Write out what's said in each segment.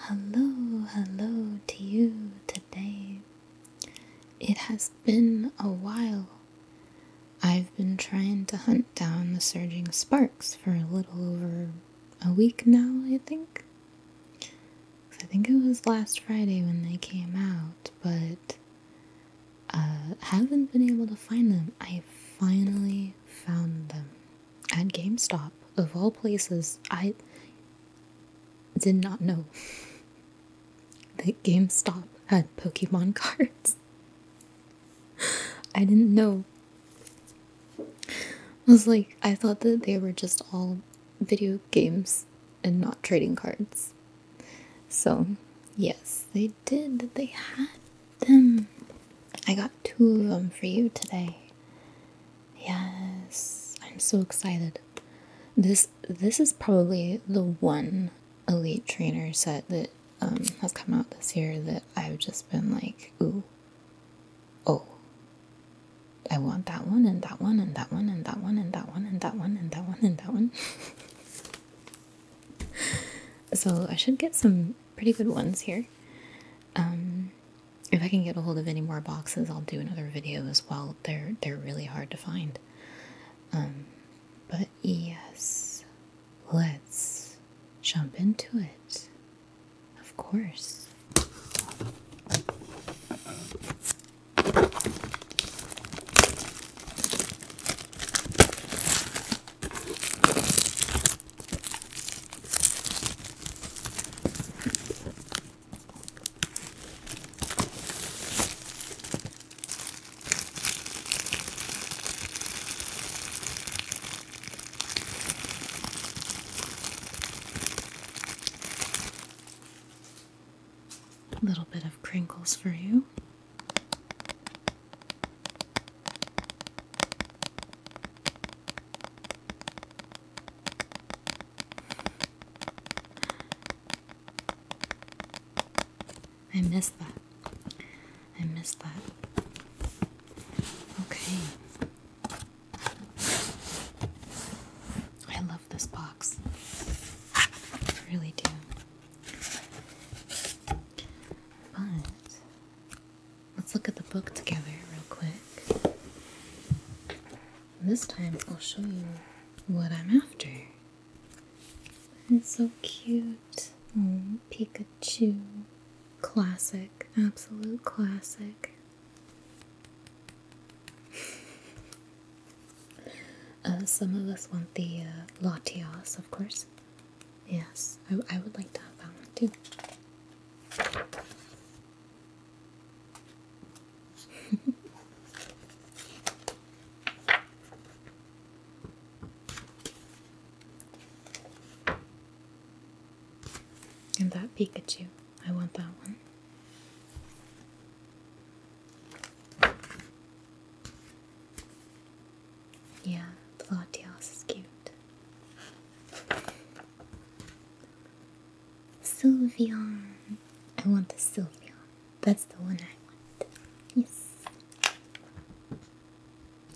Hello, hello to you today. It has been a while. I've been trying to hunt down the surging sparks for a little over a week now, I think. I think it was last Friday when they came out, but uh haven't been able to find them. I finally found them at GameStop, of all places, I did not know that GameStop had Pokemon cards. I didn't know. I was like, I thought that they were just all video games and not trading cards. So, yes, they did. They had them. I got two of them for you today. Yes, I'm so excited. This this is probably the one elite trainer set that um, has come out this year that I've just been like, ooh, oh, I want that one and that one and that one and that one and that one and that one and that one and that one. so I should get some pretty good ones here. Um, if I can get a hold of any more boxes, I'll do another video as well. They're they're really hard to find. Um, but yes, let's jump into it. Of course. A little bit of crinkles for you. I missed that. I missed that. Okay. I love this box. I really do. But Let's look at the book together real quick. this time I'll show you what I'm after. It's so cute. Pikachu. Classic. Absolute classic. Uh, some of us want the uh, Latias, of course. Yes, I, I would like to have that one too. and that Pikachu. I want that one. Yeah, the Platios is cute. Sylveon. I want the Sylveon. That's the one I want. Yes.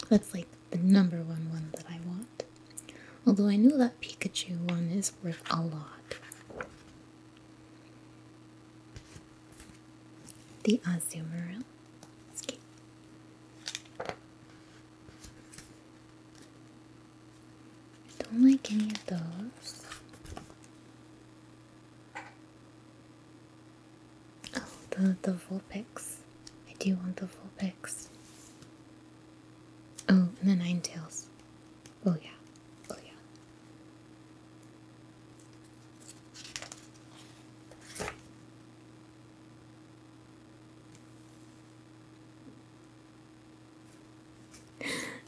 That's like the number one one that I want. Although I know that Pikachu one is worth a lot. The Azumarill. I don't like any of those. Oh, the, the pics. I do want the full pics. Oh, and the Nine Tails. Oh yeah. Oh yeah.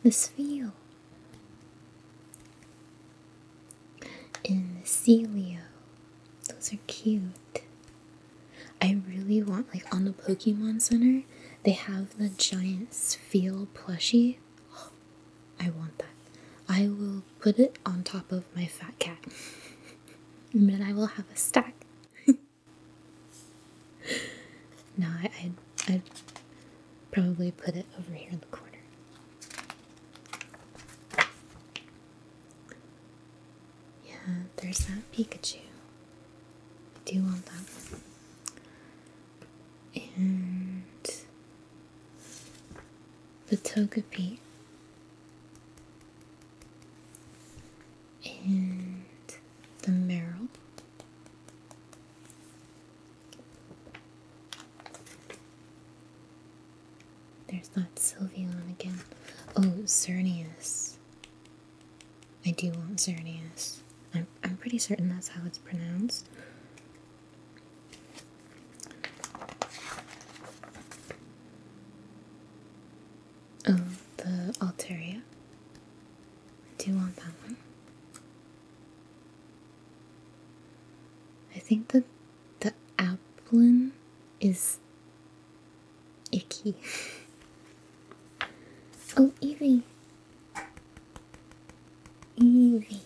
This feel in the Celio. Those are cute. I really want like on the Pokemon Center they have the giant Seal plushie. I want that. I will put it on top of my fat cat. and then I will have a stack. no, I, i probably put it over here in the corner. Yeah, there's that Pikachu. I do want that one. And the Togepi and the Merrill. There's not Sylveon again. Oh, Xerneas. I do want Xerneas. I'm, I'm pretty certain that's how it's pronounced. Oh, the Alteria. Do you want that one? I think that the Applin is icky. oh, Evie. Evie.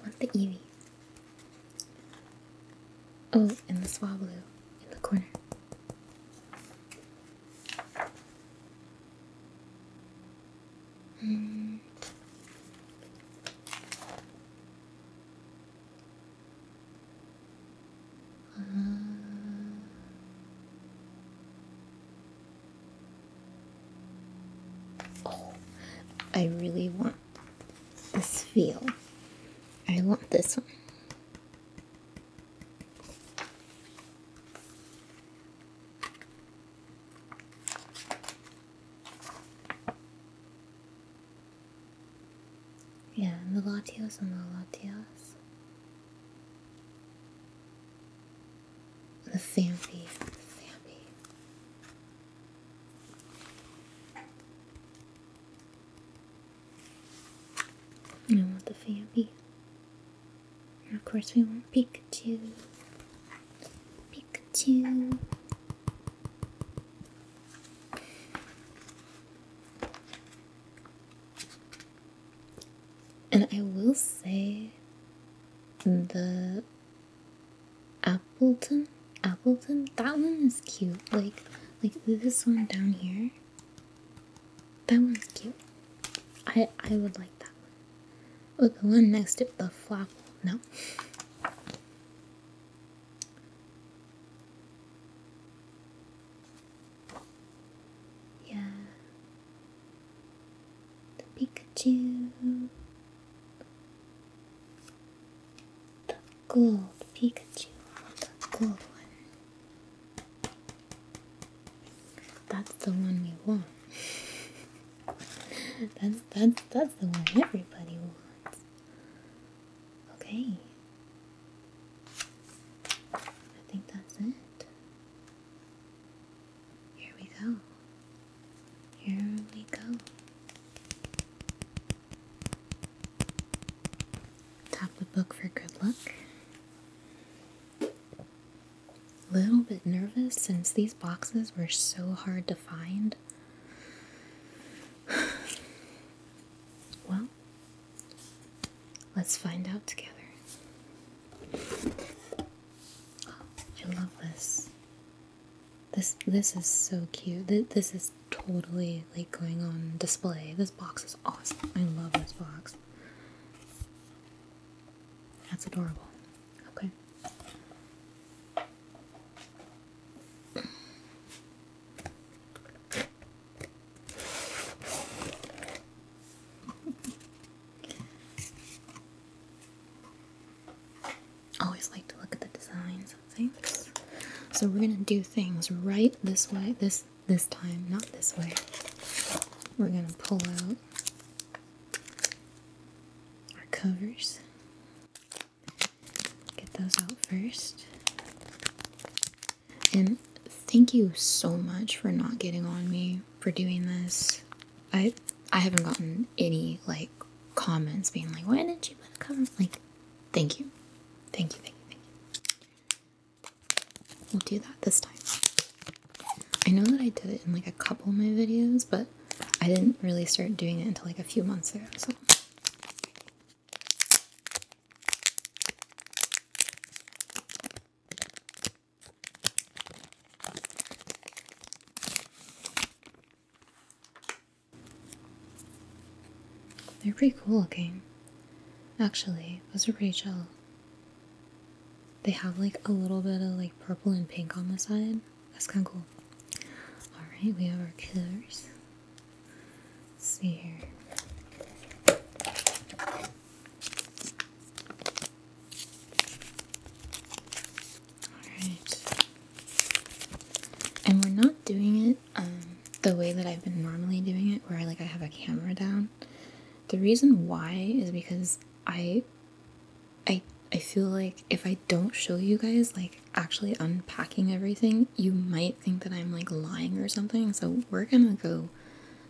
want the Evie. Oh, in the swablu in the corner. Hmm. Uh, oh, I really want this feel. I want this one. Yeah, the Latios and the Latias. The Fampi. Fampi. I want the Fabby. And of course we want Pikachu. Pikachu. And I will say the Appleton Appleton that one is cute. Like like this one down here that one's cute. I I would like that one. With the one next to the flop. No. Yeah. The Pikachu the gold Pikachu, the gold one. That's the one we want. that's that's that's the one everybody wants. Okay. I think that's it. Here we go. Here we go. Top the book for good luck. A little bit nervous since these boxes were so hard to find. well, let's find out together. I love this. This this is so cute. This is totally like going on display. This box is awesome. I love this box. That's adorable. Okay. Always like to look at the design. Thanks. So we're gonna do things right this way, this this time, not this way. We're gonna pull out our covers. Get those out first. And thank you so much for not getting on me for doing this. I I haven't gotten any like comments being like, why didn't you put a cover? Like, thank you. Thank you, thank you, thank you. We'll do that this time. I know that I did it in like a couple of my videos, but I didn't really start doing it until like a few months ago, so. They're pretty cool looking. Actually, those are pretty chill. They have like a little bit of like purple and pink on the side. That's kind of cool. Alright, we have our colors. see here. Alright. And we're not doing it um, the way that I've been normally doing it, where like I have a camera down. The reason why is because I, I, I feel like if I don't show you guys like actually unpacking everything, you might think that I'm like lying or something. So we're gonna go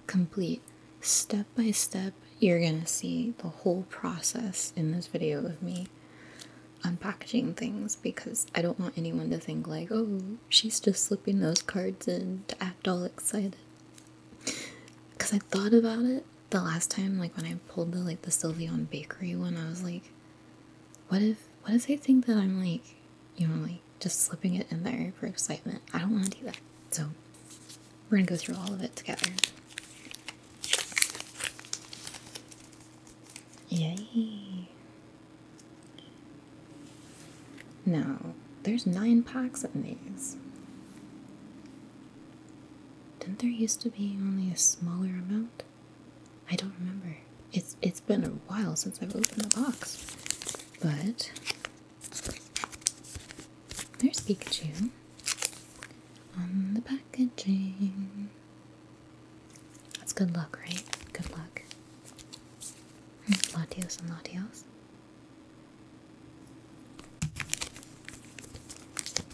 complete step by step. You're gonna see the whole process in this video of me unpackaging things because I don't want anyone to think, like, oh, she's just slipping those cards in to act all excited. Because I thought about it the last time, like when I pulled the like the Sylveon Bakery one, I was like, what if what if they think that I'm like, you know, like just slipping it in there for excitement? I don't want to do that. So we're gonna go through all of it together. Yay. Now, there's nine packs in these. Didn't there used to be only a smaller amount? I don't remember. It's it's been a while since I've opened the box. But there's Pikachu on the packaging. That's good luck, right? Good luck. Latios and Latios.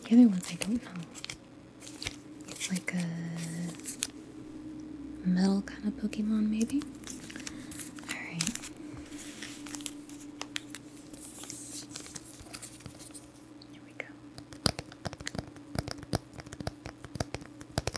The other ones I don't know. It's like a metal kind of Pokemon, maybe? Alright. Here we go.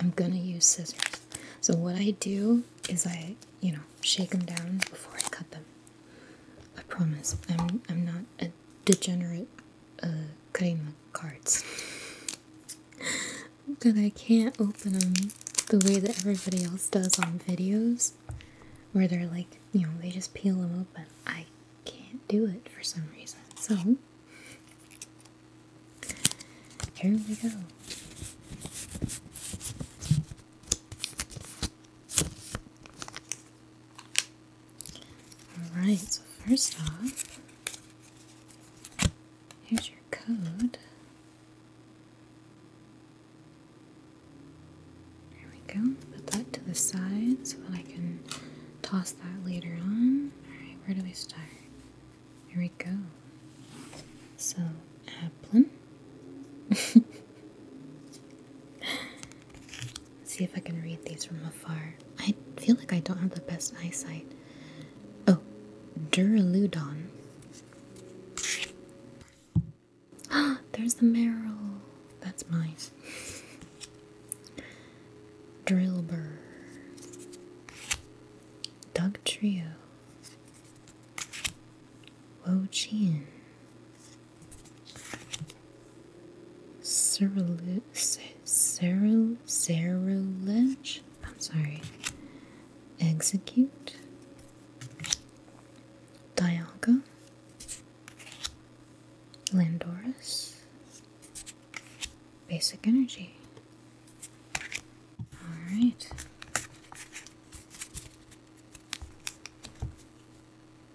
I'm gonna use scissors. So what I do is I, you know, shake them down before I cut them. I promise, I'm I'm not a degenerate uh, cutting the cards. but I can't open them the way that everybody else does on videos, where they're like, you know, they just peel them open. I can't do it for some reason. So here we go. Alright, so first off, here's your code. There we go. Put that to the side so that I can toss that later on. Alright, where do we start? Here we go. So, Applin. see if I can read these from afar. I feel like I don't have the best eyesight. Oh, Duraludon. Ah, there's the Meryl. That's mine. Drillbur. Duck Trio. Wo Jin, Cyril, Cyril, I'm sorry. Execute. Dialga. Landorus. Basic energy. All right.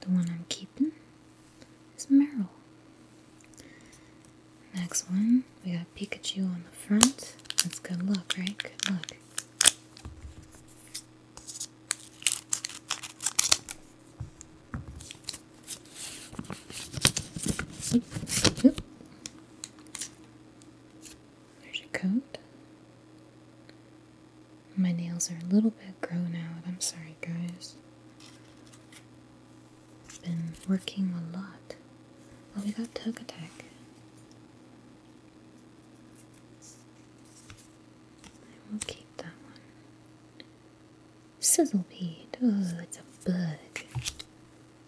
The one I'm keeping is Meryl. Next one, we got Pikachu on the front. That's good luck, right? Good luck. There's your coat. My nails are a little bit grown out. I'm sorry, guys. Been working a lot. Oh, we got Tug Attack. I will keep that one. Sizzlepeed. Oh, it's a bug.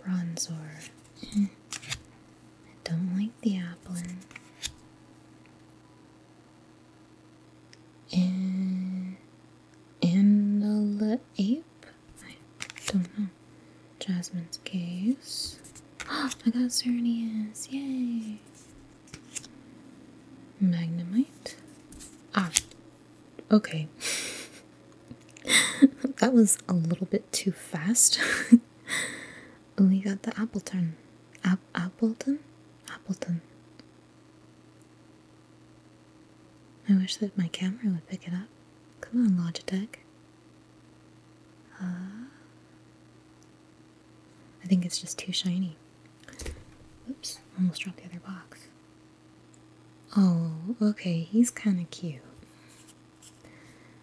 Bronzor. I don't like the Applin. And Anala Ape? I don't know. Jasmine's case. I got Cernius. Yay! Magnemite. Ah. Okay. that was a little bit too fast. we got the Appleton. Appleton? Appleton. I wish that my camera would pick it up. Come on, Logitech. Uh, I think it's just too shiny. Oops, almost dropped the other box. Oh, okay, he's kind of cute.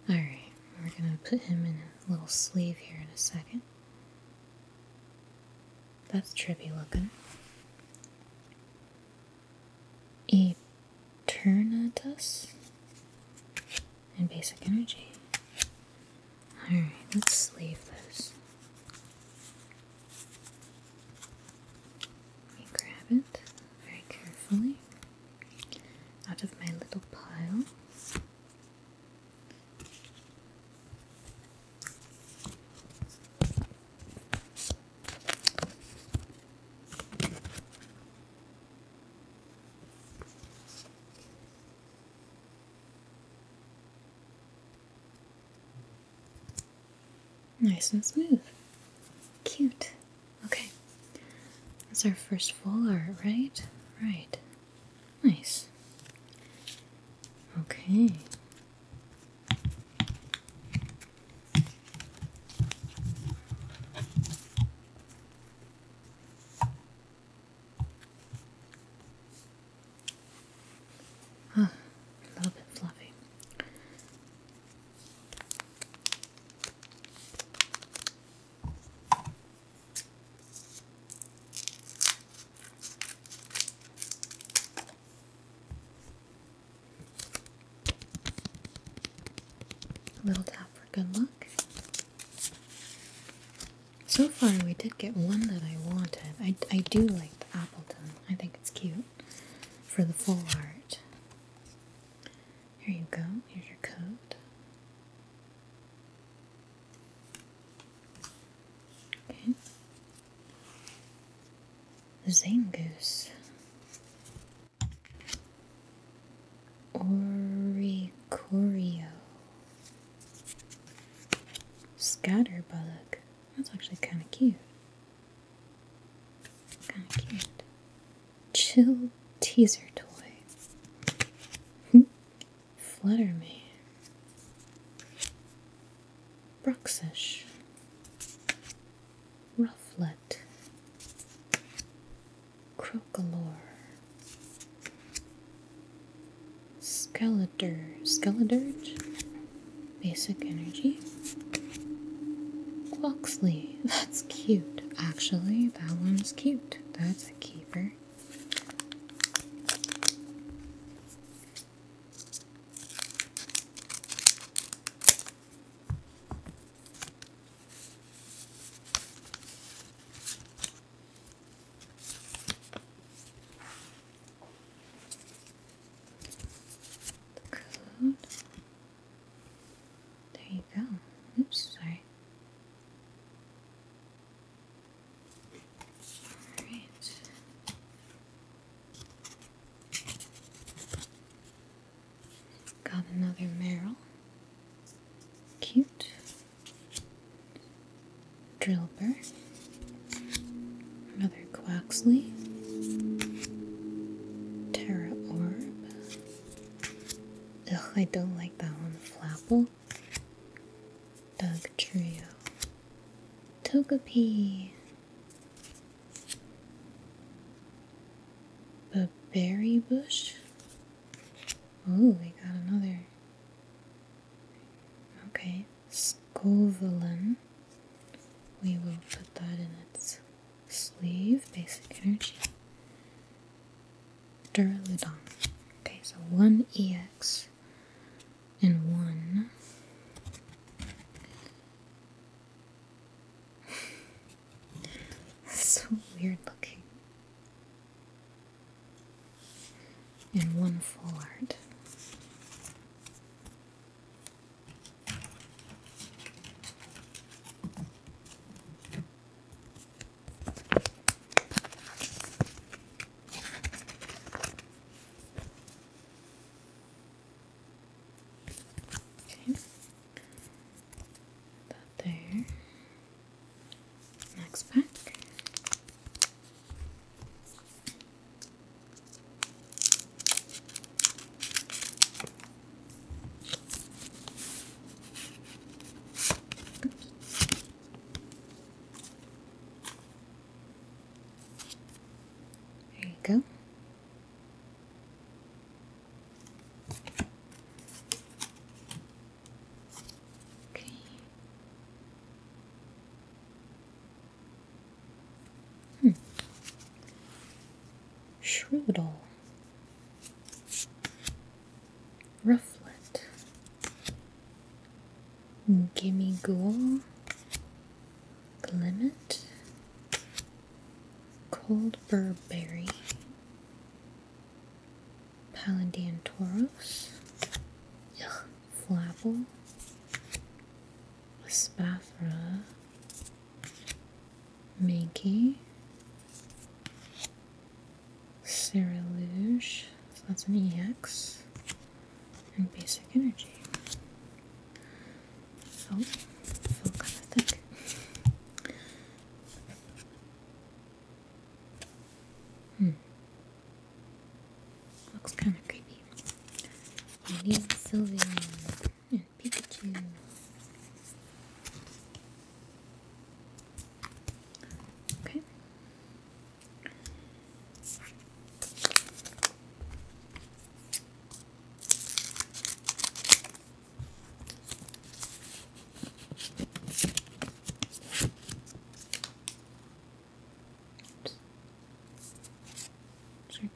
Alright, we're gonna put him in a little sleeve here in a second. That's trippy looking. Eternatus and basic energy. Alright, let's sleeve this. We grab it very carefully out of my little pile. Nice and smooth. Cute. Okay. That's our first full art, right? Right. Nice. Okay. Ah, a little bit fluffy. A little tap for good luck. So far, we did get one that I wanted. I, I do like the Appleton, I think it's cute for the full art. Here you go, here's your coat. Okay. Zangoose. Oricorio. Scatterbug. That's actually kind of cute. Kind of cute. Chill teaser toy. Flutter me. Bruxish. Rufflet. Crocolore. Skeletor. Skeledirge? Basic energy. Quoxley. That's cute, actually. That one's cute. That's a keeper. The code. There you go. Oops, sorry. Alright. Got another Meryl. Cute. Drillbur. Another Quaxley. Terra Orb. Ugh, I don't like that one. Flapple. Doug Trio. Togepi. The berry bush. Oh, we got another. Okay, Scovelin. We will put that in its sleeve, basic energy, Duraludon. Okay, so one EX and one. so weird looking. And one full art. Okay. That there. Next pack. There you go. Okay. Hmm. Shrudel. Rufflet. Gimme Ghoul. Glimmet. Cold Burberry. Palandian Tauros. Ugh. Flapple. Spathra. Manky, Saraluge, so that's an EX, and Basic Energy. So, I kind of thick. Hmm. Looks kind of creepy. Maybe Sylveon. Yeah, Pikachu. Okay.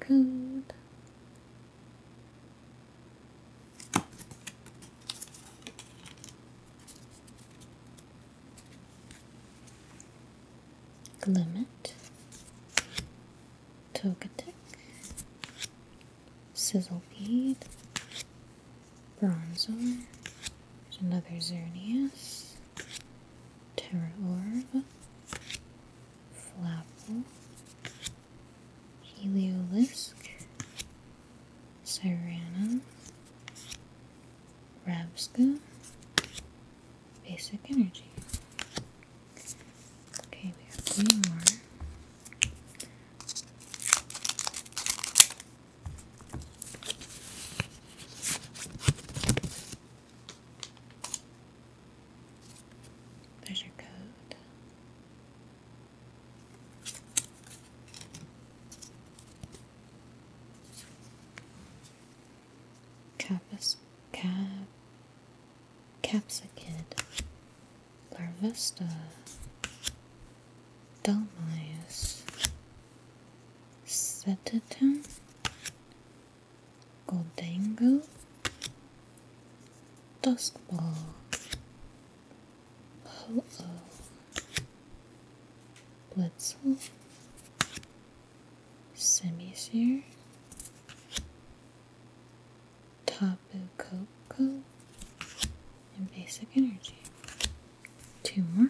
Oops. Limit, Togetic, Sizzleweed, Bronzor, another Zernius, Terra Orb, Flapple, Heliosk, Serrano, Rabska, Basic Energy. Okay, we have three more. There's your code. Capus, cap, capsicid, larvista, delmias, setatum, Goldango, Duskball, Ho-Oh, Blitzel, Semisear, Tapu Koko, and Basic Energy. Two more.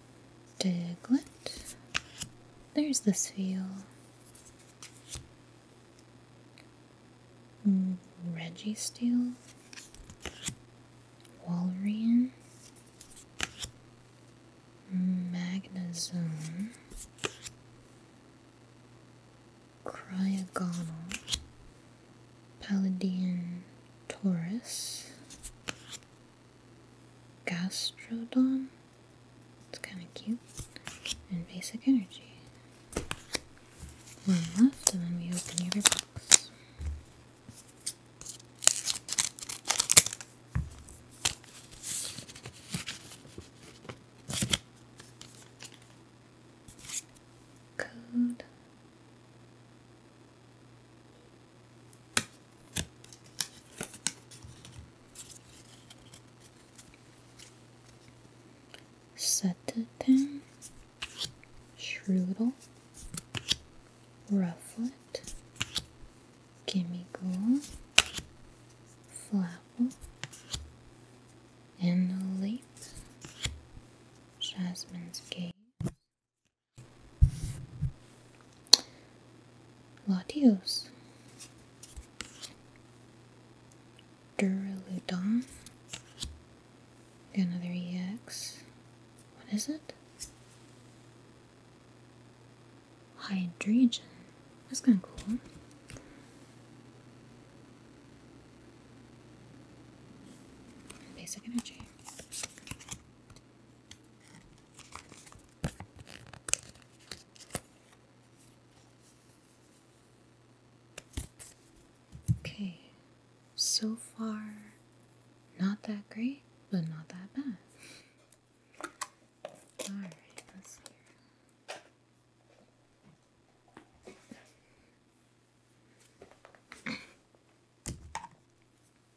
Diglett. There's the seal. Mm, Reggie Steel. Walrian. Magnazone. Cryogonal. Palladian Taurus. Gastrodon. It's kind of cute. And Basic Energy. One left, and then we open the other box. Code Setted pin, Shrewdle, Rufflet, Gimme Ghoul, Flapple, Annalate, Jasmine's Gaze, what use? Another EX. What is it? Hydrogen. That's kind of cool. Basic energy. Okay, so far, not that great, but not that bad. Alright,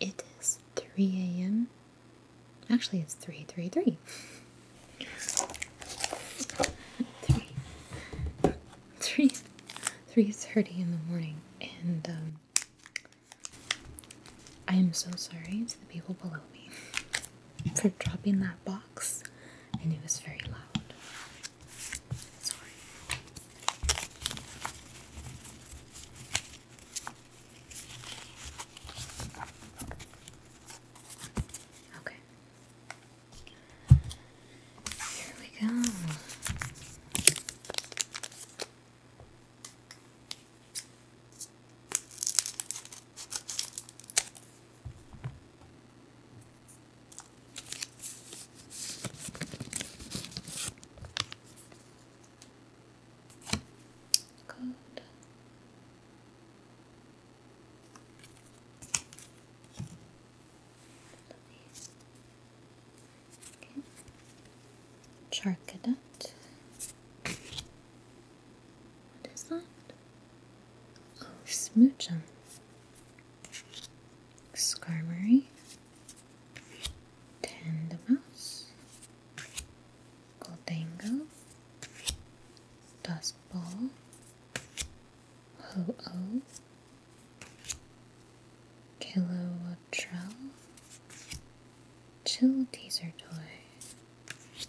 It is 3 a.m. Actually, it's three, three, three. three. Three. Three thirty in the morning, and um, I am so sorry to the people below me for dropping that box, and it was very loud. Sorry. Okay. Here we go. Good. Okay. What is that? Oh, Smoochum. Skarmory. Tandemouse. Goldango, Dust Ball, Ho-Oh, Kilowatrell, Chill Teaser Toy.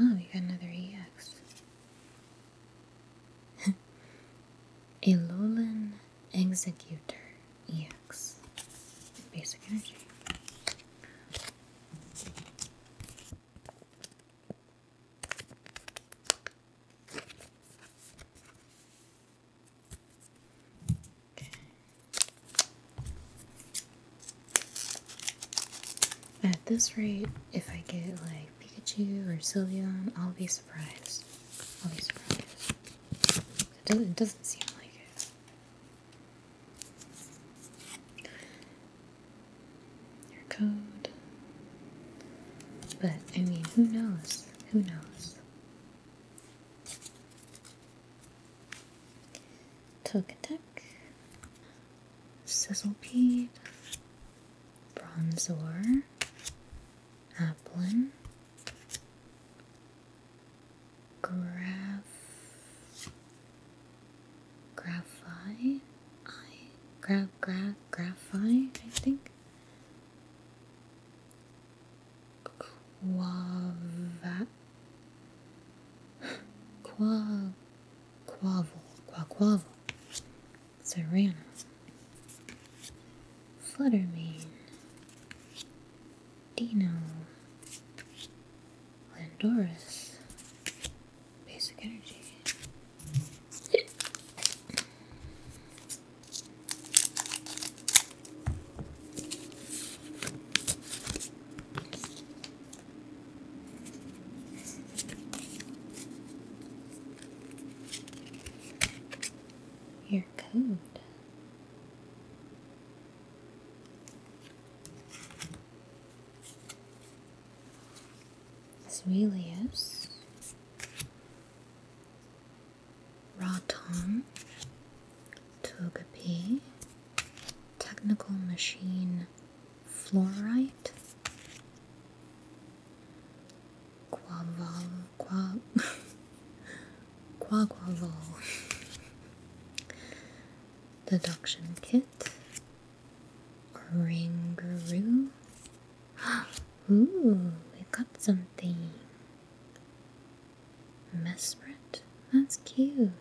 Oh, we got another EX. A Alolan Executor EX. Basic energy. At this rate, if I get like Pikachu or Sylveon, I'll be surprised. I'll be surprised. it doesn't seem like it your code. But I mean, who knows? Who knows? Togetic, Sizzlepeed, Bronzor, Applin, Graf Graphi? I gra gra graphi, I think. Quava quav, Quavel. Quaquavel. Serrano. Fluttermane. Dino. Landorus. Basic energy. Your code. This really is Raton Togepi Technical Machine Fluorite Quaval Qua Quaquaval Deduction Kit Kangaroo. Ooh, we got something. Mesprit? That's cute.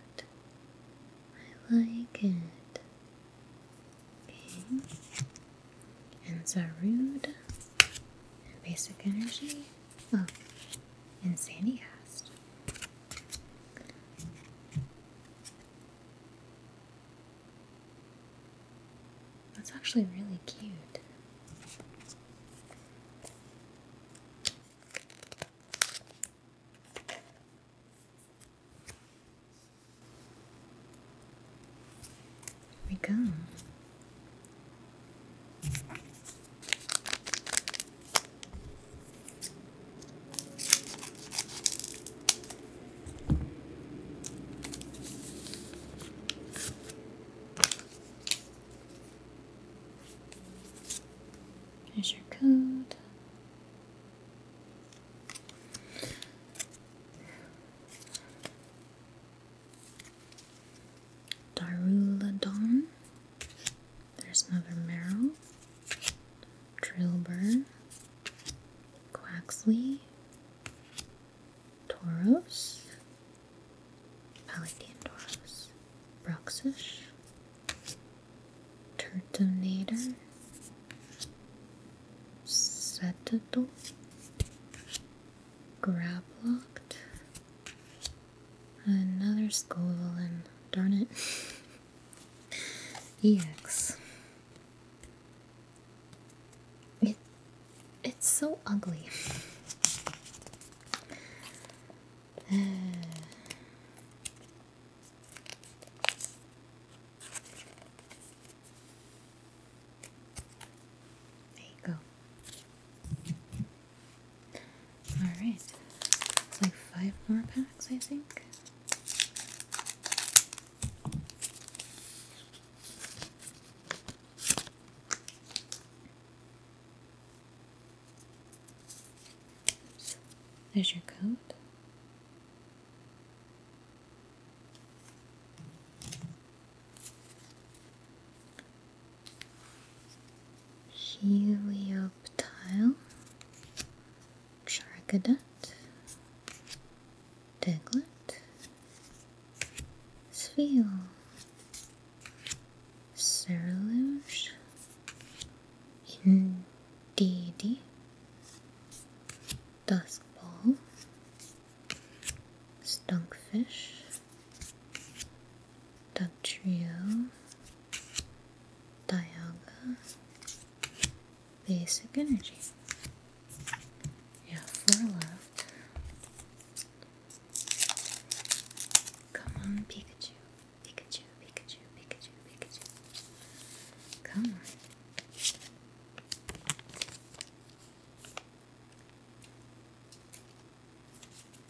I like it. Okay. And Zarude. And Basic Energy. Oh, and Sandy Cast. That's actually really cute. There we go. There's your code. Darula there's another Merrill, Drillbur, Quaxley, Toros, Palatian Toros, Broxish, Turtonator, Setadol, Grablocked, another Scovelin. Darn it. EX. It, it's so ugly. Uh. there you go. Alright. It's like five more packs, I think there's your coat. Helioptile Sharkadot, Diglett, Sveal, Ceruluge, Indeedee, Duskball, Stunkfish, Dugtrio, Dialga, basic energy. You four left. Come on, Pikachu. Pikachu, Pikachu, Pikachu, Pikachu. Come on.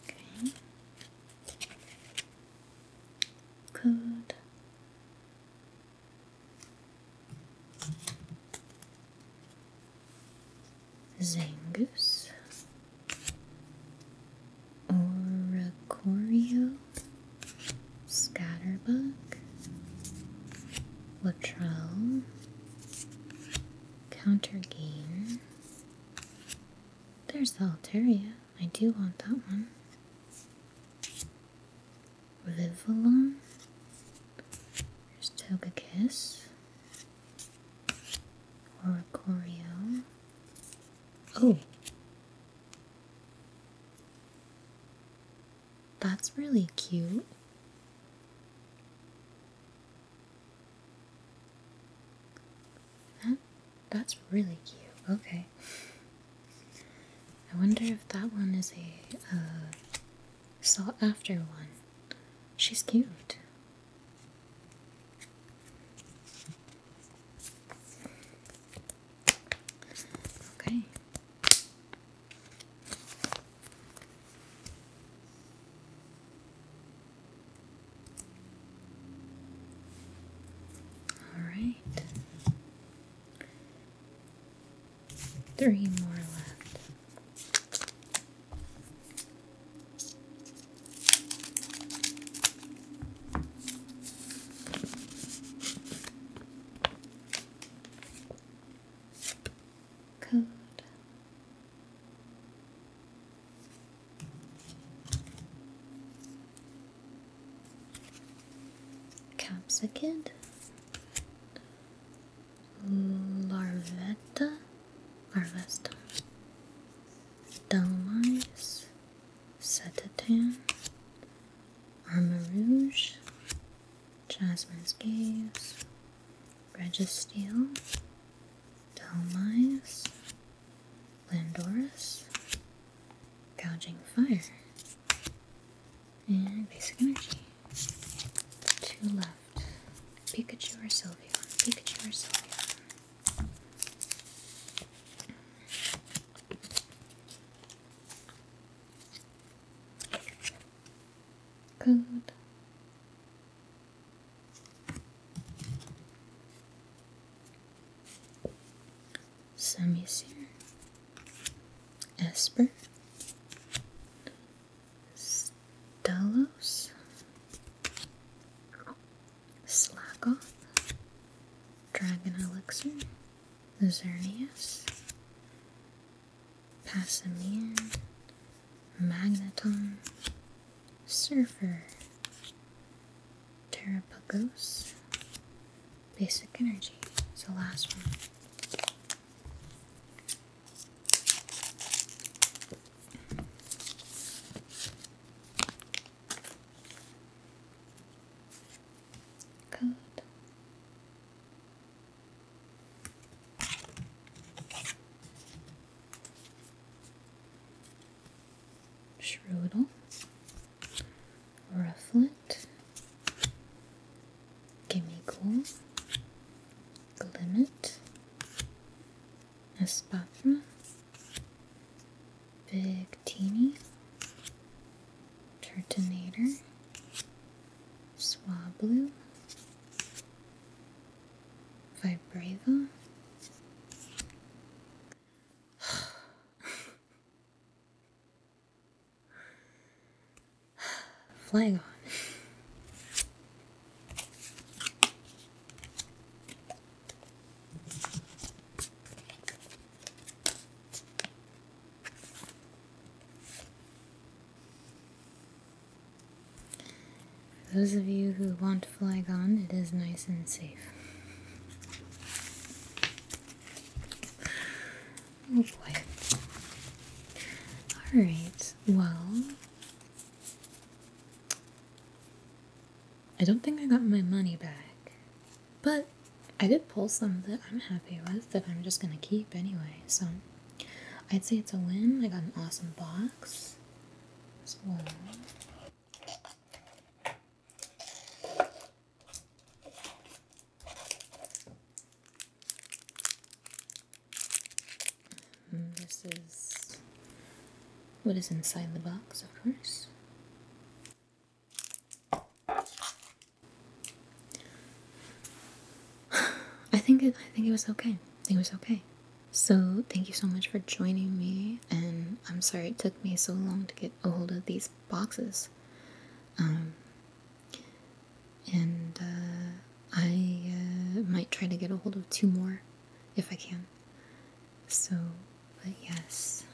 Okay. Good. Zangus, Oracorio, Scatterbug, Latrell, Countergain. There's the Altaria. I do want that one. Rivalon. There's Togekiss. Oricorio. Oh! That's really cute. That, that's really cute. Okay. I wonder if that one is a sought after one. She's cute. Okay. All right. Three more left. Code. Capsicid, Larvetta, Larvesta, Dalmice, Setitan, Armor Rouge, Jasmine's Gaze, Registeel, Dalmice, Landorus, Gouging Fire, and Basic Energy. Two left. Pikachu or Sylvia? Pikachu or Sylvia? Code. Samicir, Esper, Stalos, Slackoth, Dragon Elixir, Xerneas, Passimian, Magneton, Surfer, Terrapagos. Basic energy. It's the last one. Code. Shrewdle, Rufflet, Gimme Cool, Glimmet, Espathra, Big Teeny, Turtonator, Swablu, Vibrava. Flying on. those of you who want Flygon, it is nice and safe. Oh boy. Alright, well. I don't think I got my money back. But I did pull some that I'm happy with that I'm just gonna keep anyway, so I'd say it's a win. I got an awesome box as Mm, this is what is inside the box, of course. I think it, I think it was okay. I think it was okay. So thank you so much for joining me, and I'm sorry it took me so long to get a hold of these boxes. Um, and uh, I uh, might try to get a hold of two more if I can. So, but yes.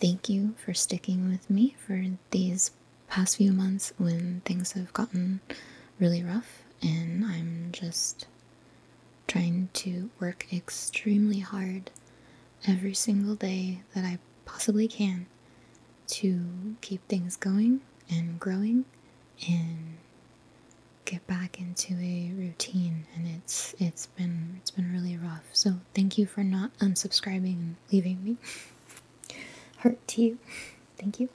Thank you for sticking with me for these past few months when things have gotten really rough and I'm just trying to work extremely hard every single day that I possibly can to keep things going and growing and get back into a routine and it's it's been it's been really rough. So thank you for not unsubscribing and leaving me. Hurt to you. Thank you.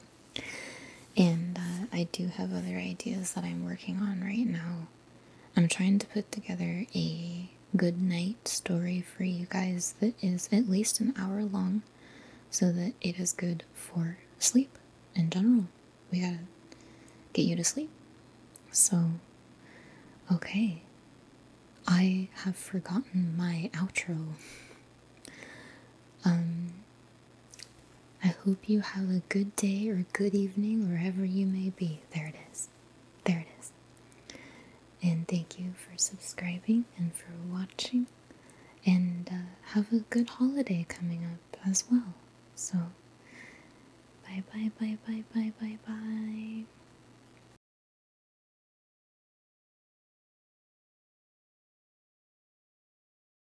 And uh, I do have other ideas that I'm working on right now. I'm trying to put together a good night story for you guys that is at least an hour long so that it is good for sleep in general. We gotta get you to sleep. So, okay. I have forgotten my outro. Um, I hope you have a good day or good evening wherever you may be. There it is. There it is. And thank you for subscribing and for watching. And uh, have a good holiday coming up as well. So, bye bye bye bye bye bye bye.